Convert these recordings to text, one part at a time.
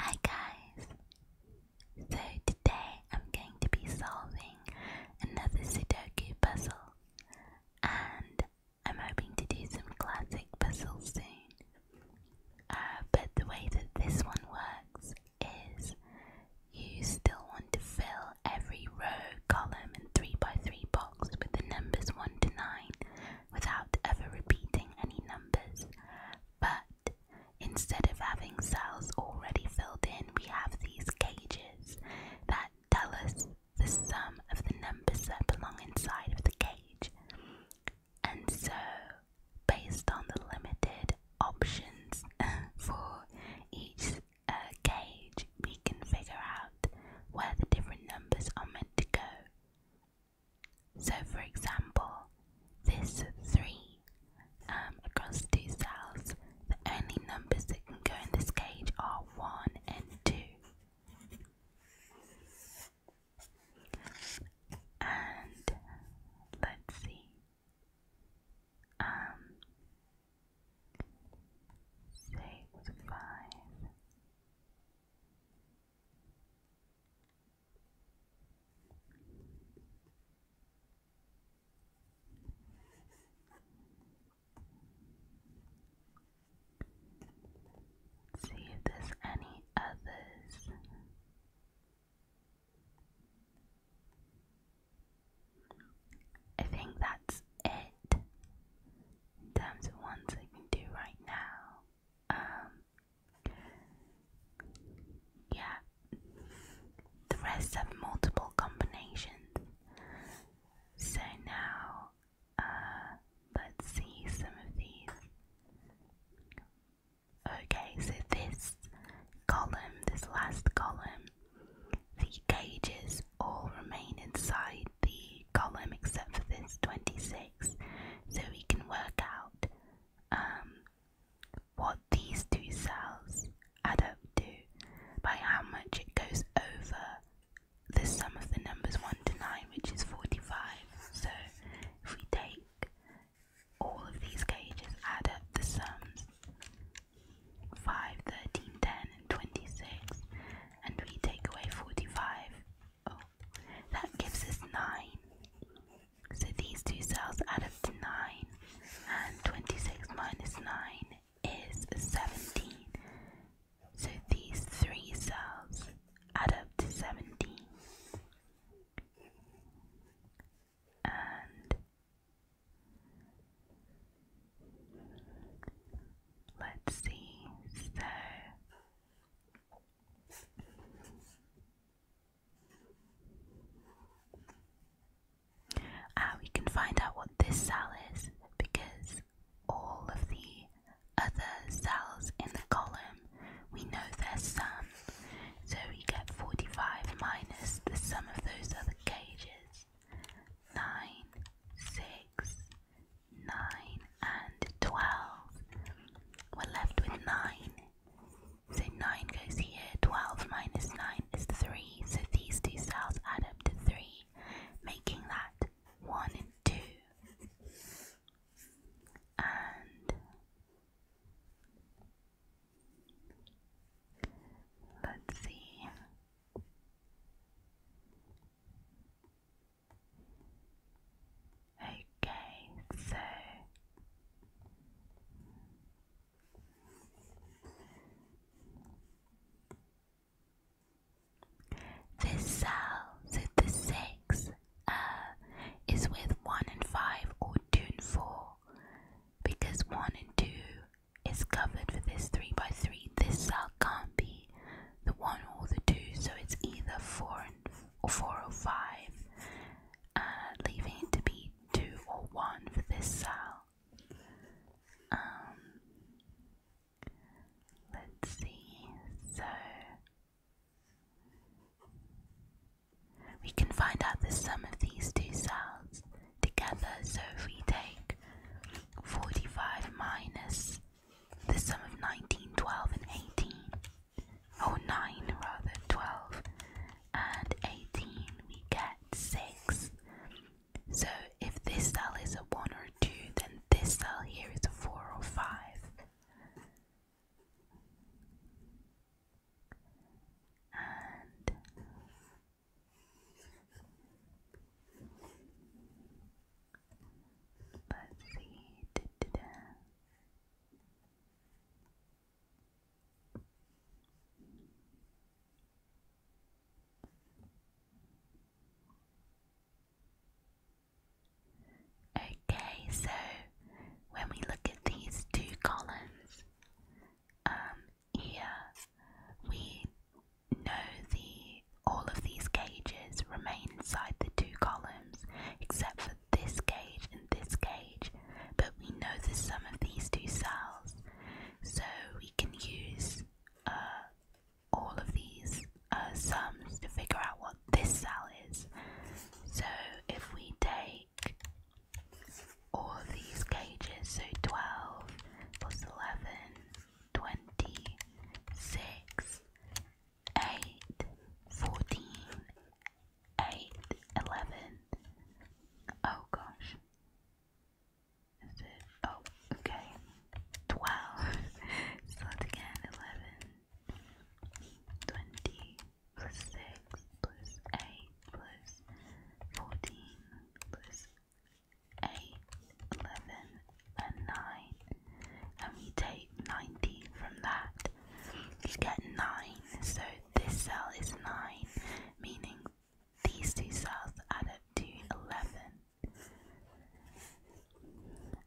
Hi guys! So today I'm going to be solving another Sudoku puzzle and I'm hoping to do some classic puzzles soon. Uh, but the way that this one works is you still want to fill every row, column and 3x3 box with the numbers 1 to 9 without ever repeating any numbers. But instead of having cells already filled in, we have these cages that tell us the sum of the numbers that belong inside of the cage. And so, based on the limited options for each uh, cage, we can figure out where the different numbers are meant to go. So, for example, this 3 um, across two cells, the only numbers that can go in this cage are 1 and 2. And let's see. Um, six, five. See if there's any others. I think that's it in terms of ones I can do right now. Um, yeah, the rest have multiple combinations. So now, uh, let's see some of these. Okay, so this column, this last column, the cages all remain inside the column except for this 26. So we can work out um, what these two cells add up to by how much it goes over the sum of the numbers 1 to 9, which is 45. So if we take all of these cages, add up the sums 5, 13, 10, and 26, and we take away 45. That gives us 9. So these two cells add up to 9, and 26 minus 9 is 17. So these three cells add up to 17. And let's see, so Ah, we can find out what this cell is because all of the other cells in the column, we know their sum. So we get 45 minus the sum of those other cages. 9, and 12. We're left with 9 so 9 goes here, 12 minus 9 is 3, so these two cells add up to 3, making that 1 and 2. And let's see. Okay, so this cell, so the six, uh, is with one and five or two and four, because one and two is covered for this three by three. This cell can't be the one or the two, so it's either four and or 405, uh, leaving it to be 2 or 1 for this cell. Um, let's see, so we can find out the sum of these two cells together. So if we take 45 minus the sum of 19, 12, and 18, oh nine rather, twelve and eighteen, we get six. So if this cell is a one or two, then this cell here is a four or five. And Okay, so when we look at these two columns, um, here we know the all of these cages remain inside the two columns except for this cage and this cage, but we know the sum of these two cells, so we can use uh, all of these uh, sums to figure out what this cell is. So if we take all of these cages, so 12 plus 11, 26, 8, 14, eight, eleven. Oh gosh. Is it? Oh, okay. Twelve. Slot again. Eleven. six plus eight plus fourteen plus eight, eleven, and nine. And we take ninety from that you get 9. So this cell is 9, meaning these two cells add up to 11.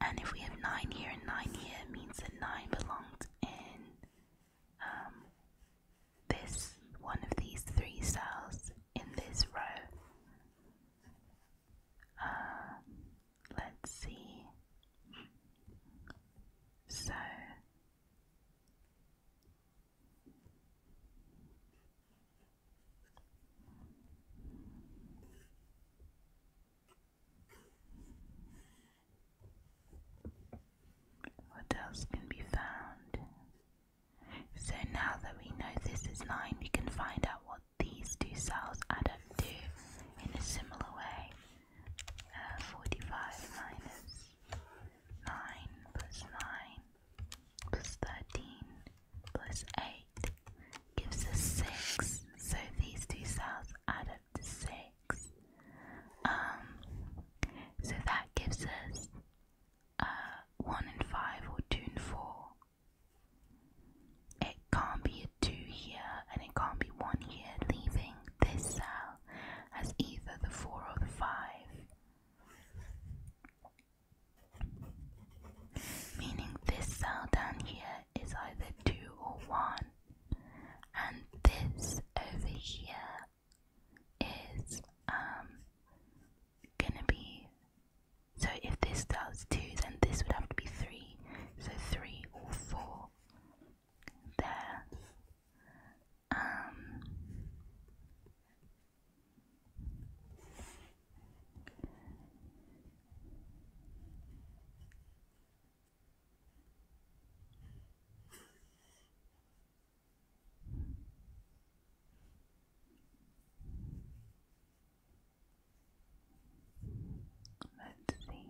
And if we have 9 here and 9 here, means that 9 belongs in um, this one of these three cells in this row. Uh, let's see. So what else can be found? So now that we know this is 9, we can find out what these two cells add up to in a similar way. Uh, 45 minus 9 plus 9 plus 13 plus 8 gives us 6. So these two cells add up to 6. Um, so that gives us uh, 1 and 5 or 2 and 4. It can't be a 2 here and it can't be 1 here, leaving this cell as either the 4 or the 5. Meaning this down here is either 2 or 1, and this over here is um, gonna be. So if this cell is 2, then this would have to be 3, so 3 or 4 there. Um, let's see.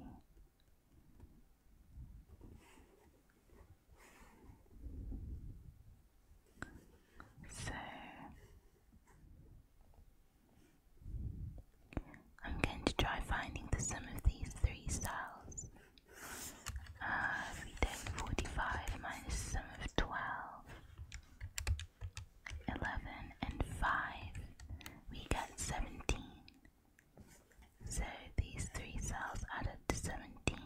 So I'm going to try finding the sum of these three cells. Uh, we take 45 minus the sum of 12, 11 and 5, we get 17. So these three cells added to 17.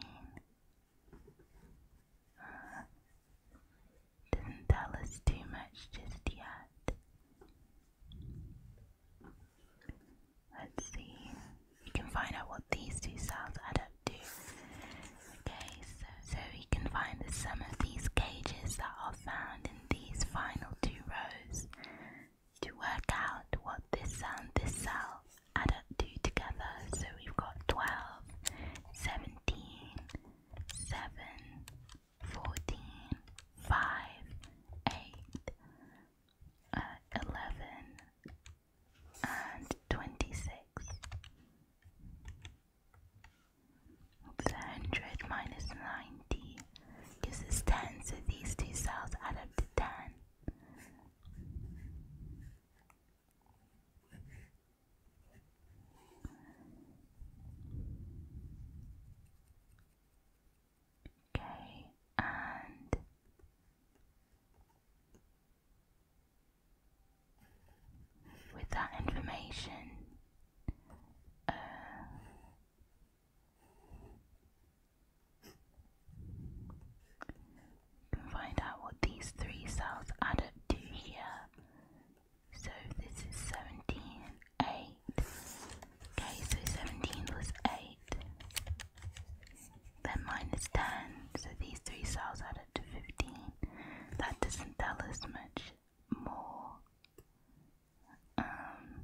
Uh, not tell us too much just yet. Let's see. We can find out what these two cells add up to. Okay, so, so we can find the sum of these cages that are found in these final two rows to work out what this cell this cell add up to together. So we've got 12, 17, 14, 5, 8, uh, 11, and 26. 100 minus 90 this is 10, so these two cells add up to 10. Okay, and with that information, uh, you can find out what these three cells add to here. So this is 17, 8. Okay, so 17 plus 8. Then minus 10. So these three cells added to 15. That doesn't tell us much more. Um,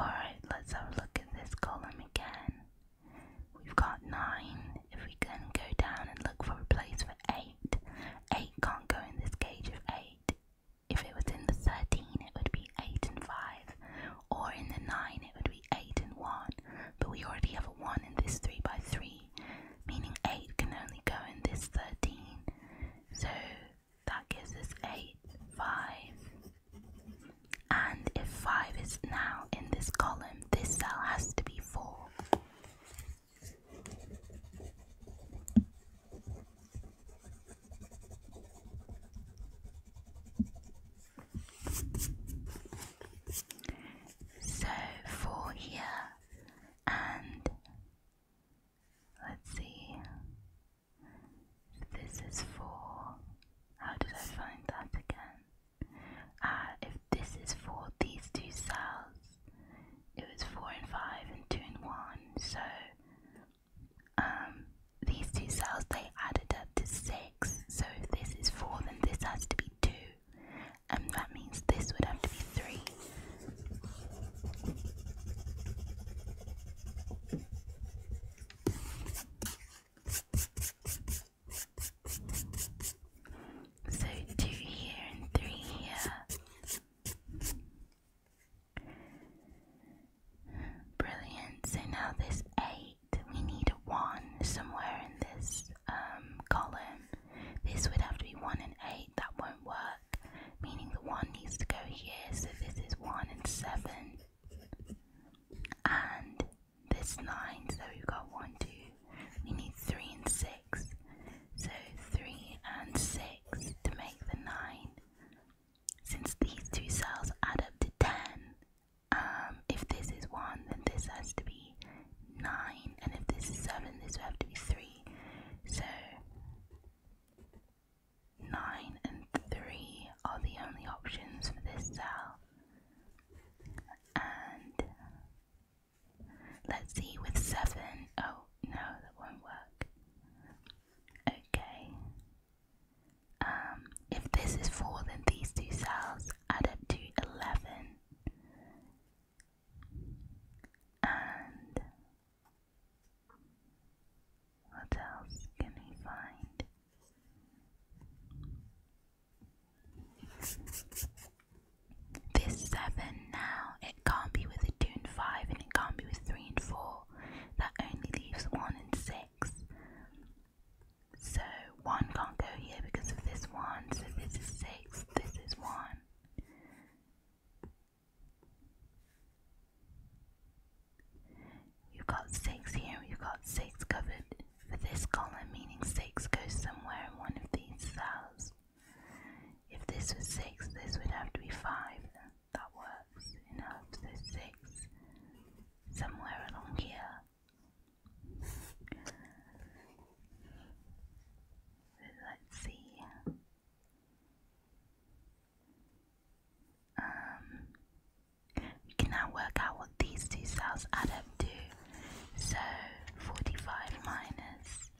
Alright, let's look at this column again. We've got 9. If we can go down and look for a place for 8, 8 can't go in this cage of 8. If it was in the 13, it would be 8 and 5, or in the 9 it would be 8 and 1, but we already have a 1 in this 3 by 3, meaning 8 can only go in this 13, so that gives us 8, 5, and if 5 is now in this column, this cell has to be 4. So four here, and let's see, this is for, How did I find that again? Ah, if this is for these two cells, it was four and five and two and one. So, um, these two cells they added up to six so if this is 4, then this has to be 2, and that means this would have to be 3. So 2 here and 3 here. Brilliant. So now this 8 we need a 1 somewhere in this um, column. This would have to be 1 and 8, that won't work, meaning the 1 needs to go here, so this is 1 and 7. And this 9, so we've got 1, 2, we need 3 and 6. So 3 and 6 to make the 9. Since these two cells add up to 10, um, if this is 1 then this has to be 9 and if this is 7 this would have to be 3 so 9 and 3 are the only options for this cell and let's see with 7 oh no that won't work okay um, if this is 4 then these two cells up to 11 and what else can we find? This 7 now, it can't be with a 2 and 5 and it can't be with 3 and 4. That only leaves 1 and 6. So one can't go here because of this one. So this is six, this is one. You've got six here, you've got six covered for this column, meaning six goes somewhere in one of these cells. If this was six, this would have to be five. That works enough. So six somewhere along here. Let's see. we um, can now work out what these two cells add up to. So, 45 minus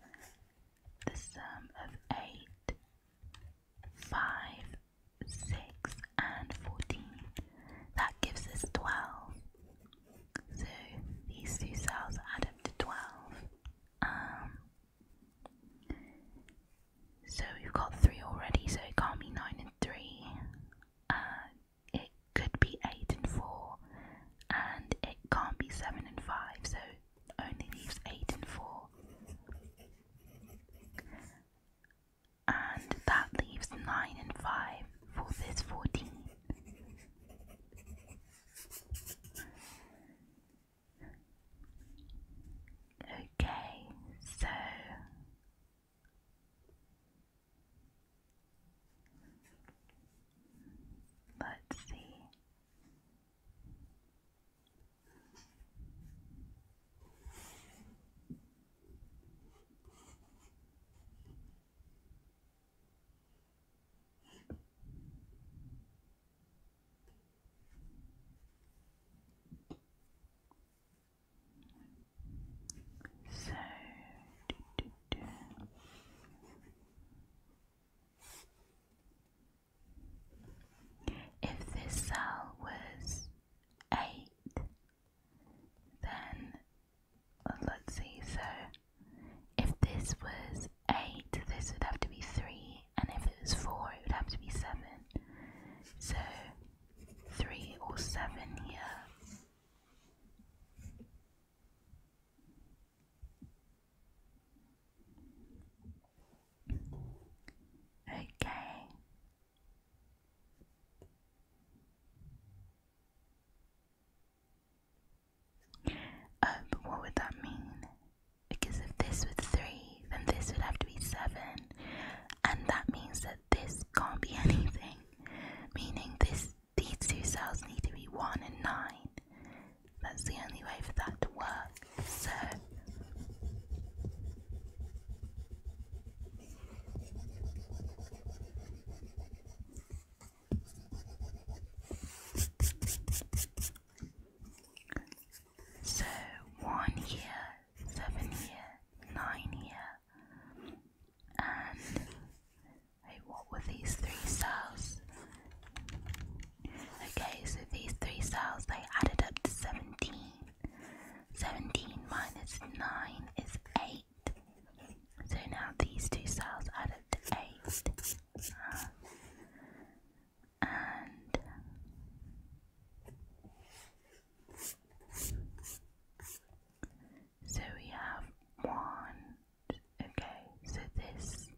the sum of 8, 5, 6, and 14. That gives us 12. So these two cells add up to 12. Um, so we've got 3 already, so it can't be 9 and 3. Uh, it could be 8 and 4, and it can't be 7 and 5, so only leaves 8 and 4 and that leaves 9 and 5 for this 14. Okay, so let's see. So do, If this cell was eight then uh, let's see, so if this was 8, this would have to be 3, and if it was 4, it would have to be 7. So 3 or 7 here. Okay. Um, what would that mean? Because if this was 3, then this would have to be 7. And that means that this can't be anything. Meaning this these two cells need to be 1 and 9. That's the only way for that to work. So so one year, seven year, nine year, and what were these three cells? Okay, so these three cells they added up to seventeen. Seventeen minus nine is eight. So now these two cells add up to 8. and so we have 1. Okay, so this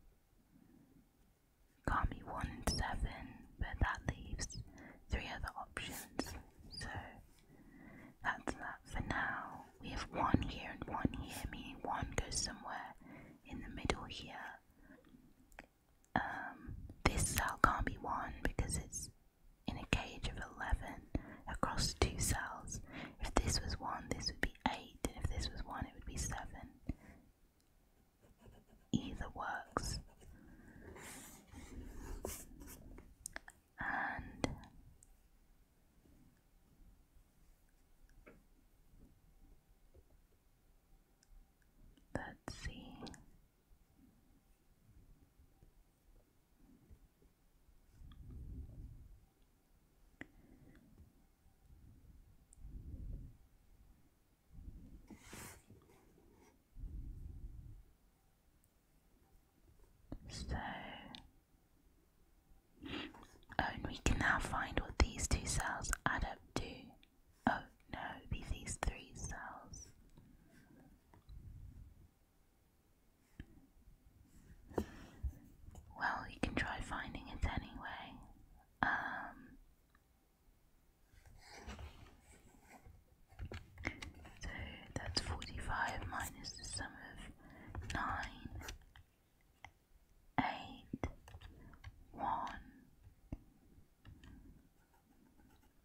can't be 1 and 7, but that leaves three other options. That's that for now. We have one here and one here, meaning one goes somewhere in the middle here. Um, this cell can't be one because it's in a cage of 11 across two cells. If this was one, this would be 8, and if this was one, it would be 7. Either works and let's see. So, and we can now find what these two cells add up to. Oh no, be these three cells. Well, we can try finding it anyway. Um, so that's 45 minus the sum of nine, eight, one,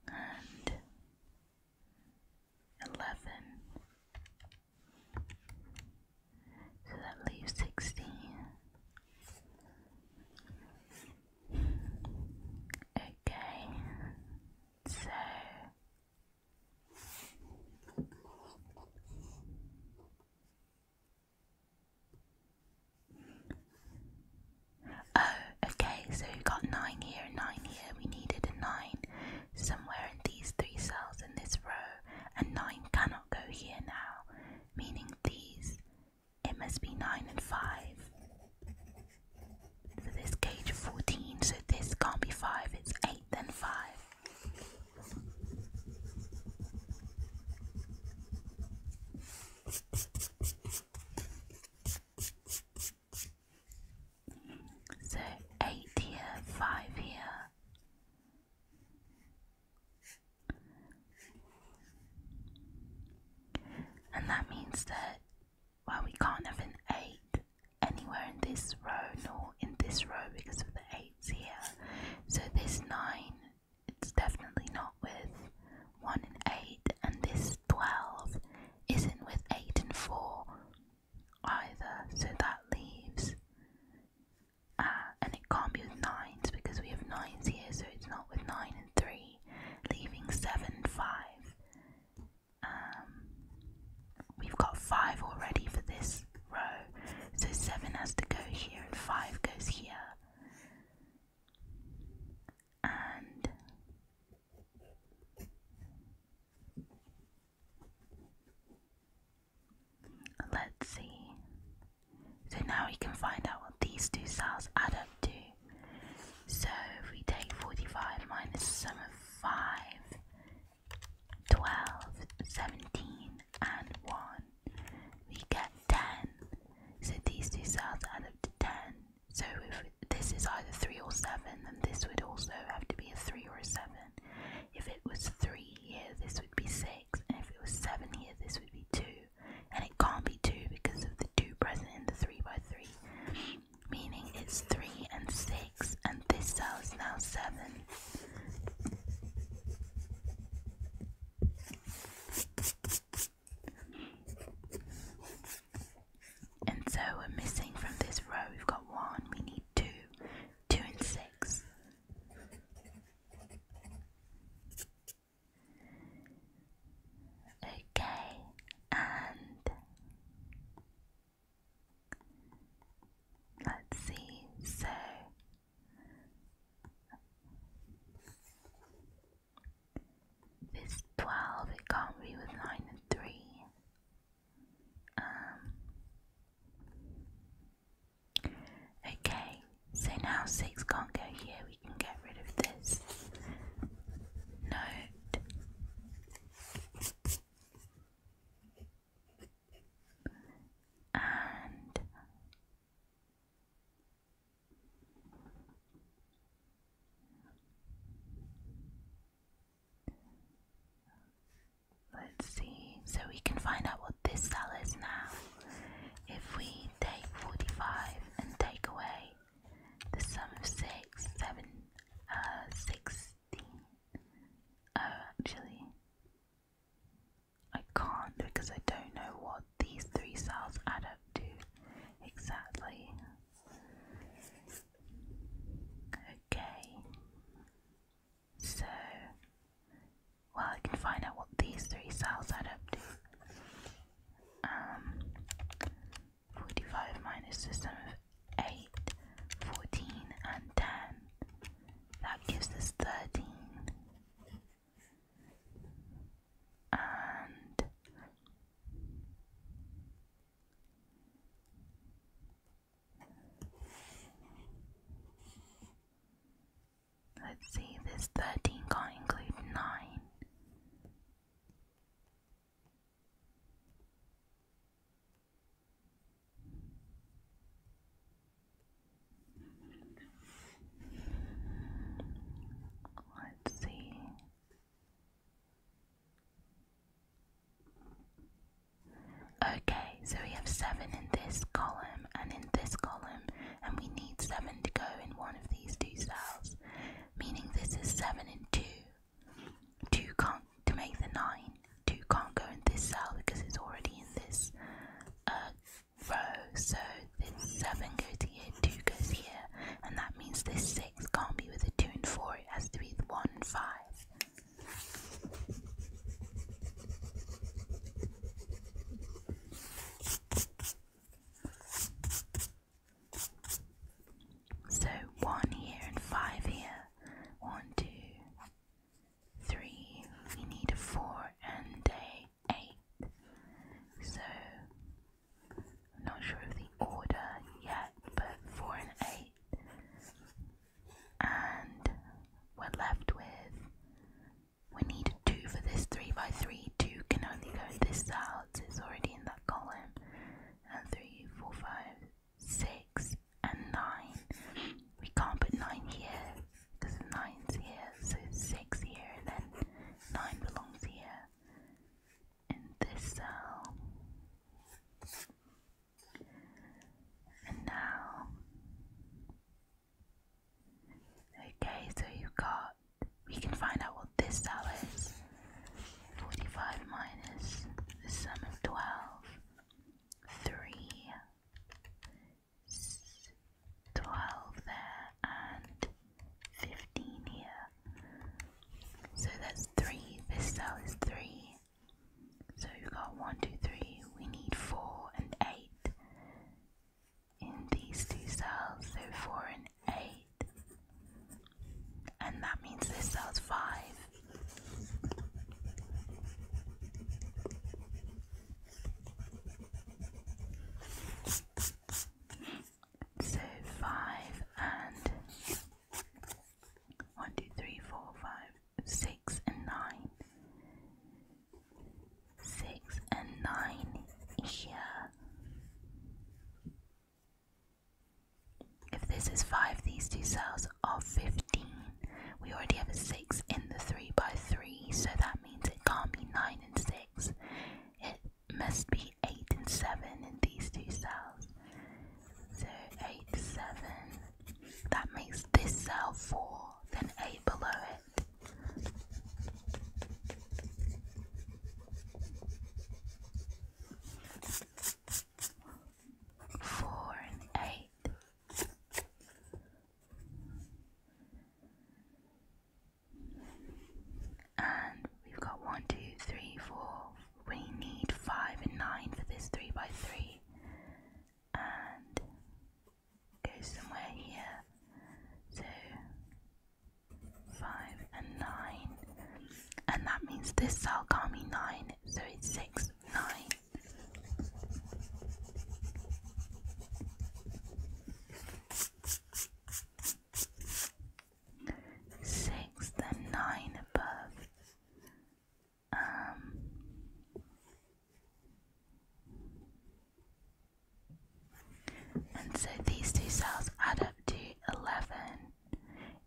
and eleven. So that leaves sixteen. Okay, so Oh, okay, so we got 9 here 9 here. We needed a 9 somewhere in these three cells in this row, and 9 cannot go here now, meaning these. It must be 9 and 5. So this cage 14, so this can't be 5, it's eight. 8 than 5. So 8 here, 5 here. And that means that, well, we can't have an 8 anywhere in this row nor in this row because of the 8s here. So this 9, it's definitely not with 1 and 8, and this 12 isn't with 8 and 4 either. So that leaves, uh, and it can't be with 9s because we have 9s here, so it's not with 9 and 3, leaving 7 and 5. Um, we've got five already for this row, so seven has to go here and five goes here. And let's see. So now we can find out what these two cells add up to. So if we take 45 minus the sum of 5, 12, and 1. We get 10. So these two cells add up to 10. So if this is either 3 or 7, then this would also have to be a 3 or a 7. If it was 3 here, this would be 6. And if it was 7 here, this would be 2. And it can't be 2 because of the 2 present in the 3 by 3. Meaning it's 3 and 6, and this cell is now 7. And so we're missing from this row, we've got one, we need two, two and six. Okay, and Let's see, so this 12 it can't be with 9 and 3. Um, okay, so now 6 can't go here, we can get rid of this note and let's see so we can find out what this cell is now if we take 45 and take away the sum of 6 7 uh, 6 uh, actually, I can't because I don't know what these three cells add up to exactly. Okay, so well, I can find out what these three cells add up to. Um, forty-five minus the sum of 8, and 10. That gives us 13. And let's see, this 13 can't include 9. Let's see. Okay, so we have seven in this column and in this column, and we need seven to go in one of these two cells, meaning this is seven and two. Two to make the 9. 2 can't go in this cell because it's already in this uh, row. So this 7 goes here, 2 goes here, and that means this 6 can't be with the 2 and 4, it has to be the 1 and 5. So one here and five here. One, two, 3, we need a 4 and a 8. So, I'm not sure of the order yet, but 4 and 8. And we're left with, we need a 2 for this 3 by 3. 2 can only go this out, it's already in that column. And 3, 4, 5, six, and nine. We can't put nine here because nine's here, so six here, and then nine belongs here in this cell. And now, okay, so you've got, we can find out what this cell is. 45 minus the sum of 12 three, there, and fifteen here. So that's three. This cell is three. So we've got one, two, three. We need four and eight in these two cells. So four and eight. And that means this cell's five. So five and one, two, three, four, five, six and nine. Six and nine here. If this is five, these two cells of 15. We already have a 6 in the 3 by 3, so that means it can't be 9 and 6. It must be 8 and 7 in these two cells. So 8, 7. That makes this cell 4, then 8 below it. Four and eight and we've got one, two, three, four. We need five and nine for this three by three. And go somewhere here. So five and nine. And that means this cell can't be nine, so six, nine. Six and nine above. Um, and so these two cells add up to 11.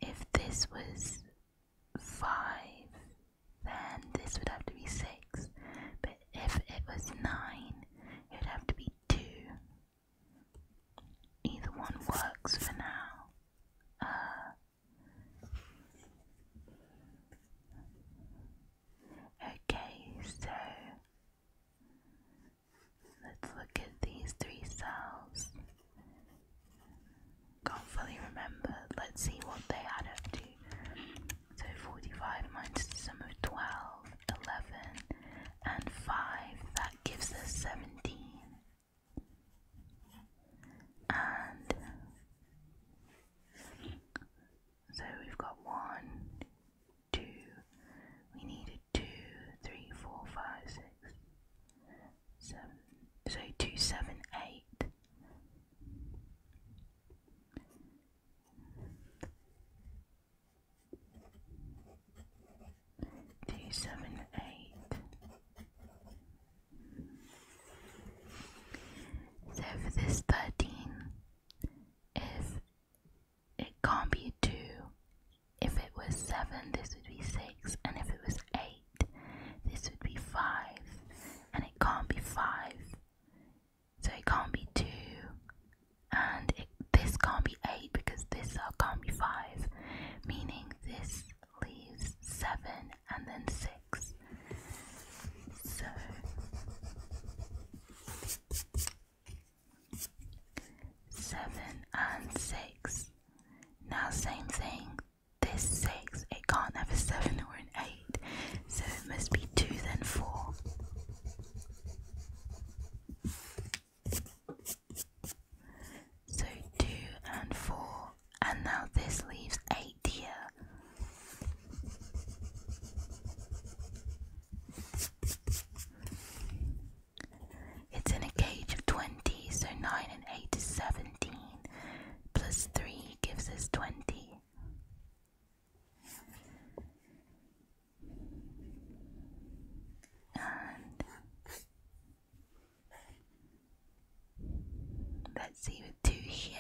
If this was 5, then this would have to be 6. But if it was 9, it would have to be 2. Either one works for now. Uh, okay, so let's look at these three cells can't fully remember. Let's see what they add to. So 45 minus the sum of 12, 11, and 5, that gives us 17. And so we've got 1, 2, we needed 2, 3, 4, 5, 6, So 2, 7, 8. Two seven eight. So for this thirteen, if it can't be a two, if it was seven, this would be six, and if it was eight, this would be five. And it can't be five. So it can't be two. And it, this can't be eight because this can't be five. Meaning this leaves seven and then six. So seven and six. Now, same thing this six, it can't have a seven or an eight, so it must be two, then four. So two and four, and now this leaves eight here. It's in a cage of 20, so 9 and 8 is 17, plus 3 gives us 20 let's see with two here.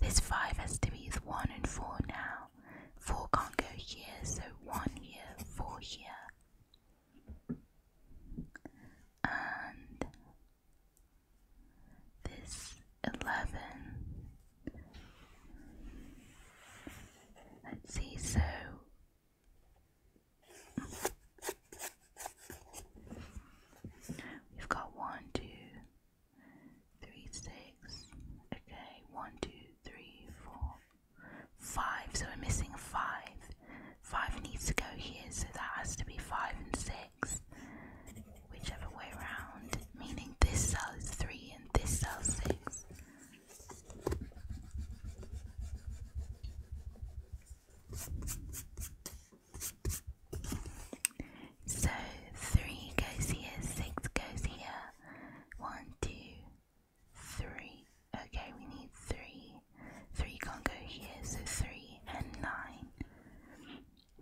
This five has to be is one and four now. Four can't go here, so one here, four here. And this eleven. Let's see, so we've got one, two, three, six. Okay, one, two, three, four, five. So we're missing five. Five needs to go here, so that has to be five and six whichever way round, meaning this cell is 3 and this cell 6. So 3 goes here, 6 goes here. 1, Okay, we need 3. 3 can't go here, so 3 and 9.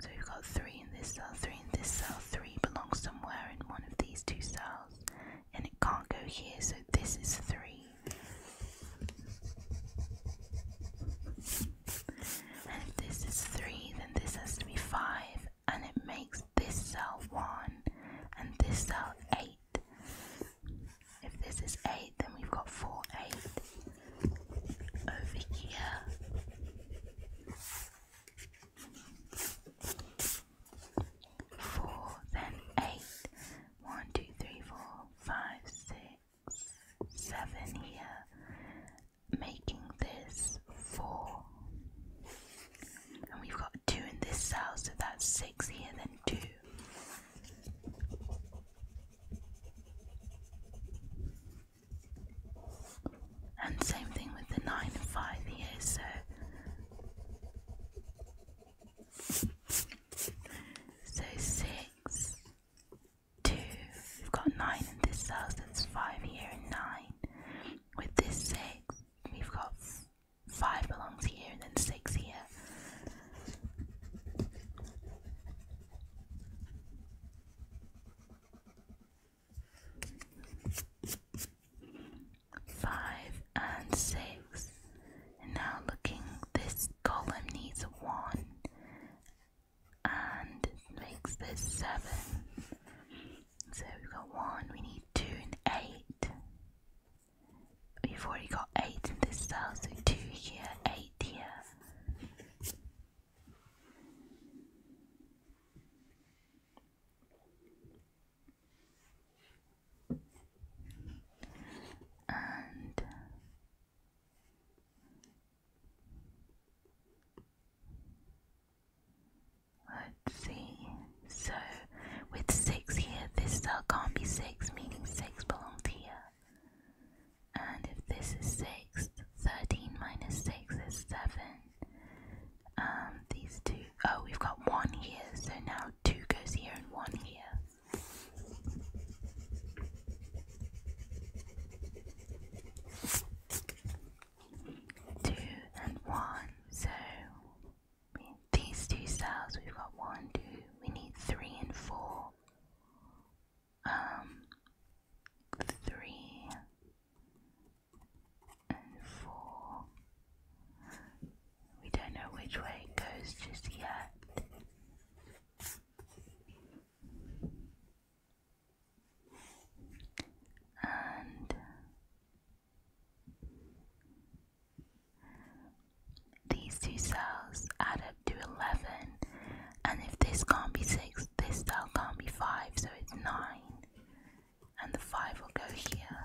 So we've got 3 in this cell, 3 in this cell, 3 belongs somewhere in one of these two cells, and it can't go here, so this is 3. And if this is 3, then this has to be 5, and it makes this cell 1, and this cell 8. If this is 8, then we've got 4, 8 over here. Four, then eight. One, two, three, four, five, six, seven here, making this four. And we've got two in this cell, so that's six here, then two. And same thing with the 9 5 here, so so six, two. We've got nine in this cell, That's five here and nine. With this six, we've got five belongs here and then six here. Five and six. And now looking, this column needs one, and makes this seven. So we've got one, we need two and eight. We've already got eight in this cell, so two here, eight here. And let's see. So, with six here, this cell can't be six, meaning six belongs here and if this is six, thirteen 6 is 7. Um, these two, oh, we've got 1 here, so now 2 goes here and 1 here. Two and one, so these two cells we've got one, two, we need three and four um, three and four. We don't know which way it goes just yet. And these two cells add up to 11, and if this can't be 6, this cell can't be 5, so it's 9. And the 5 will go here.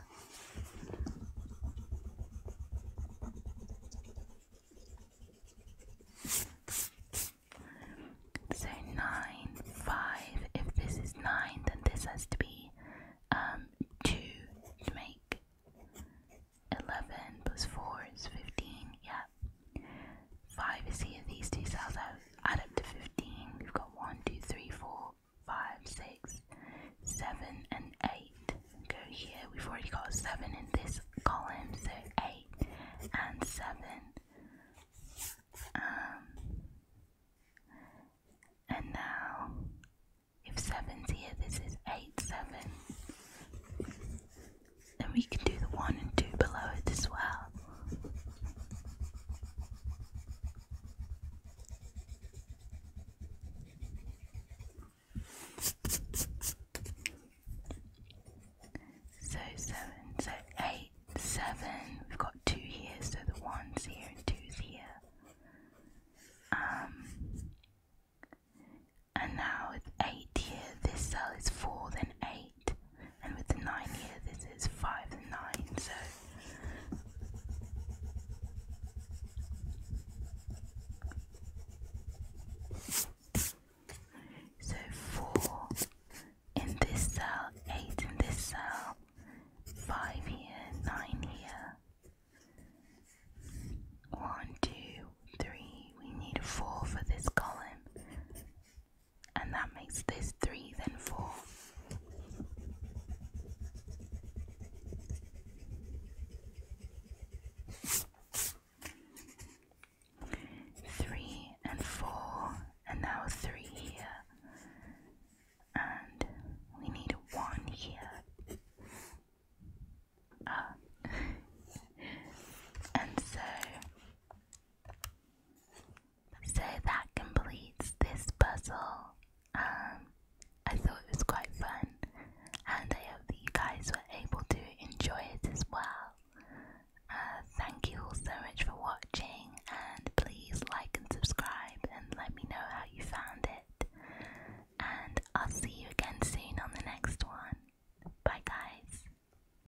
So 9, 5. If this is 9, then this has to be um, 2 to make 11 plus 4 is 15. Yeah, 5 is here, these two cells add up to 15. We've got 1, 2, 3, 4, 5, 6, 7, and 8. Go here, we've already got 7 in this column, so 8 and 7. Um, and now, if 7's here, this is 8, 7 and we can do the one and two below it as well. So seven, so eight, seven. We've got two here, so the one's here and two's here. Um, and now with eight here, this cell is four, then eight and with the nine here, this is five and nine, so so four in this cell, eight in this cell, five here, nine here. One, two, three. We need a four for this column and that makes this 3, then 4. Three and four, and now three here, and we need one here, uh, and so so that completes this puzzle. Um, I thought it was quite fun, and I hope you guys were able to enjoy it as well. Uh, thank you so much for watching, and please like and subscribe, and let me know how you found it. And I'll see you again soon on the next one. Bye, guys.